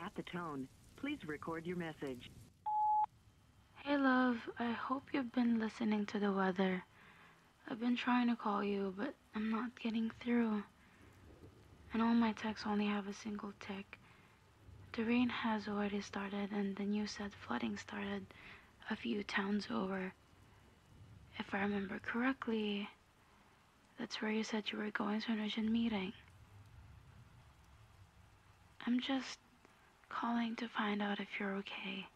At the tone, please record your message. Hey love, I hope you've been listening to the weather. I've been trying to call you, but I'm not getting through. And all my texts only have a single tick. The rain has already started, and the news said flooding started a few towns over. If I remember correctly, that's where you said you were going to an urgent meeting. I'm just calling to find out if you're okay.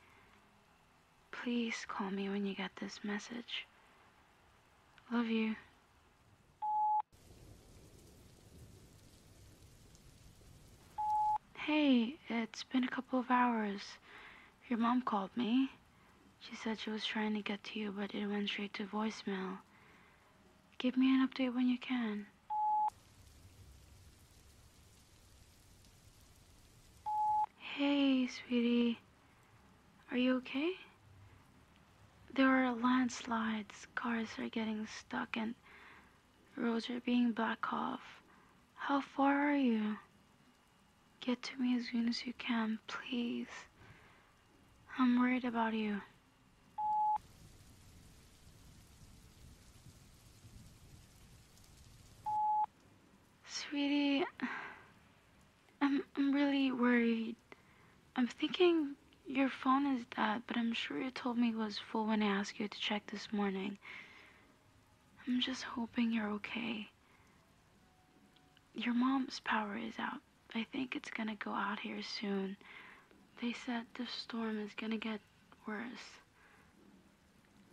Please call me when you get this message. Love you. Hey, it's been a couple of hours. Your mom called me. She said she was trying to get to you, but it went straight to voicemail. Give me an update when you can. Hey, sweetie. Are you okay? There are landslides, cars are getting stuck, and roads are being blocked off. How far are you? Get to me as soon as you can, please. I'm worried about you. Sweetie, I'm, I'm really worried. I'm thinking your phone is dead, but I'm sure you told me it was full when I asked you to check this morning. I'm just hoping you're okay. Your mom's power is out. I think it's gonna go out here soon. They said the storm is gonna get worse.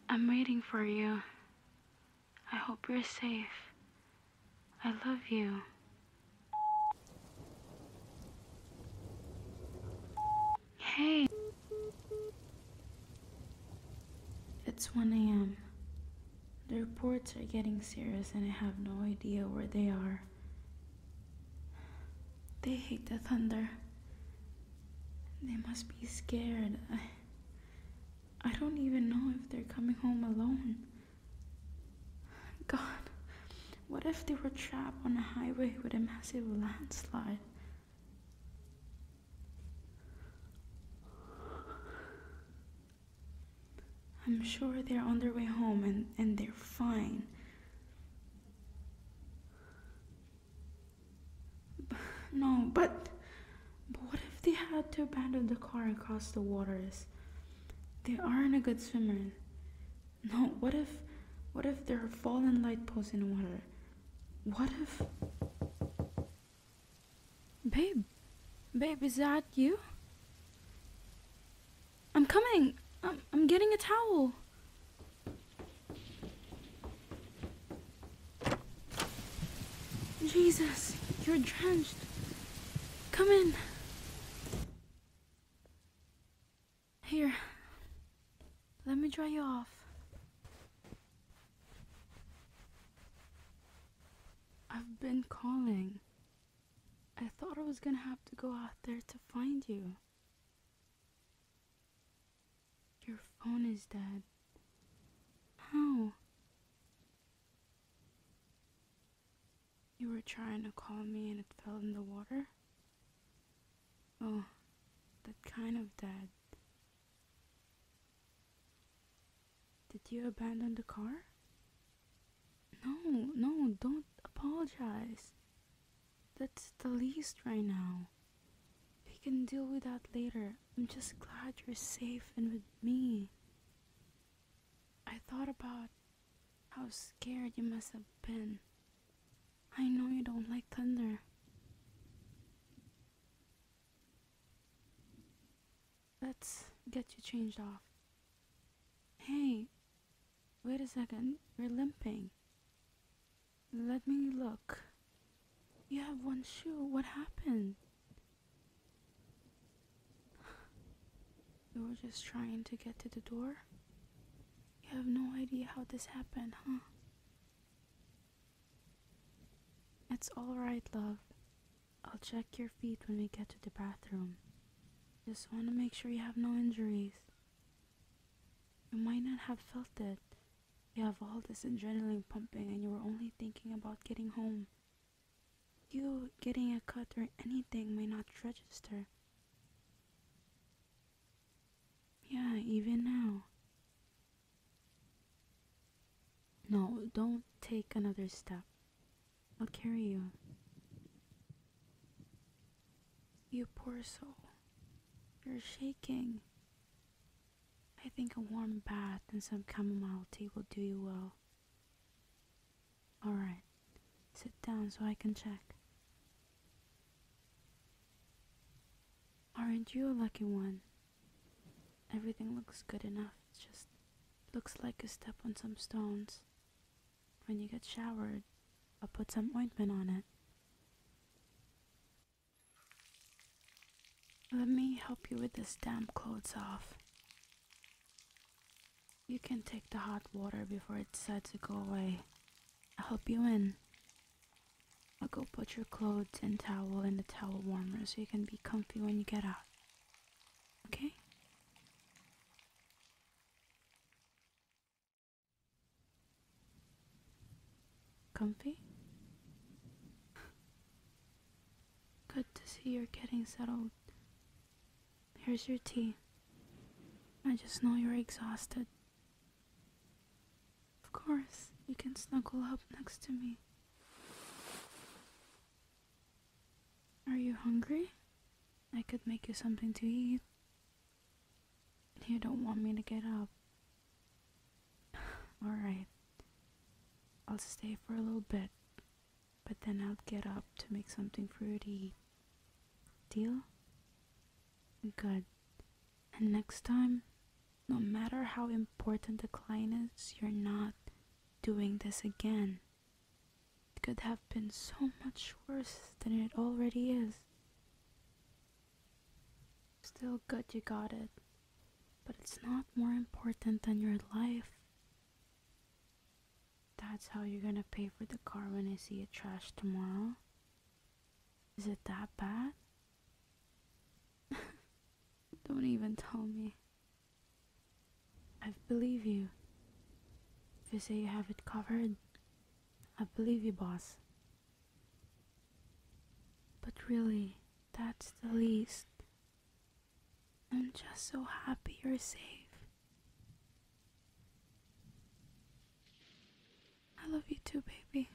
I'm waiting for you. I hope you're safe. I love you. Hey. It's 1 a.m. The reports are getting serious and I have no idea where they are. They hate the thunder. They must be scared. I, I don't even know if they're coming home alone. God, what if they were trapped on a highway with a massive landslide? I'm sure they're on their way home and, and they're fine. No, but, but what if they had to abandon the car across the waters? They aren't a good swimmer. No, what if what if there are fallen light poles in water? What if Babe Babe, is that you? I'm coming. I'm, I'm getting a towel. Jesus, you're drenched. Come in. Here, let me dry you off. I've been calling. I thought I was gonna have to go out there to find you. Your phone is dead. How? You were trying to call me and it fell in the water? Oh, that kind of dad. Did you abandon the car? No, no, don't apologize. That's the least right now. We can deal with that later. I'm just glad you're safe and with me. I thought about how scared you must have been. I know you don't like thunder. Let's get you changed off. Hey, wait a second. You're limping. Let me look. You have one shoe. What happened? You were just trying to get to the door? You have no idea how this happened, huh? It's alright, love. I'll check your feet when we get to the bathroom. Just want to make sure you have no injuries. You might not have felt it. You have all this adrenaline pumping and you were only thinking about getting home. You getting a cut or anything may not register. Yeah, even now. No, don't take another step. I'll carry you. You poor soul. You're shaking. I think a warm bath and some chamomile tea will do you well. All right, sit down so I can check. Aren't you a lucky one? Everything looks good enough, just looks like a step on some stones. When you get showered, I'll put some ointment on it. Let me help you with this damp clothes off. You can take the hot water before it decides to go away. I'll help you in. I'll go put your clothes and towel in the towel warmer so you can be comfy when you get out. Okay? Comfy? Good to see you're getting settled. Here's your tea. I just know you're exhausted. Of course, you can snuggle up next to me. Are you hungry? I could make you something to eat. You don't want me to get up, Alright. I'll stay for a little bit, but then I'll get up to make something fruity. Deal? Good. And next time, no matter how important the client is, you're not doing this again. It could have been so much worse than it already is. Still good you got it, but it's not more important than your life. That's how you're gonna pay for the car when I see it trashed tomorrow? Is it that bad? Don't even tell me. I believe you. If you say you have it covered, I believe you, boss. But really, that's the least. I'm just so happy you're safe. I love you too, baby.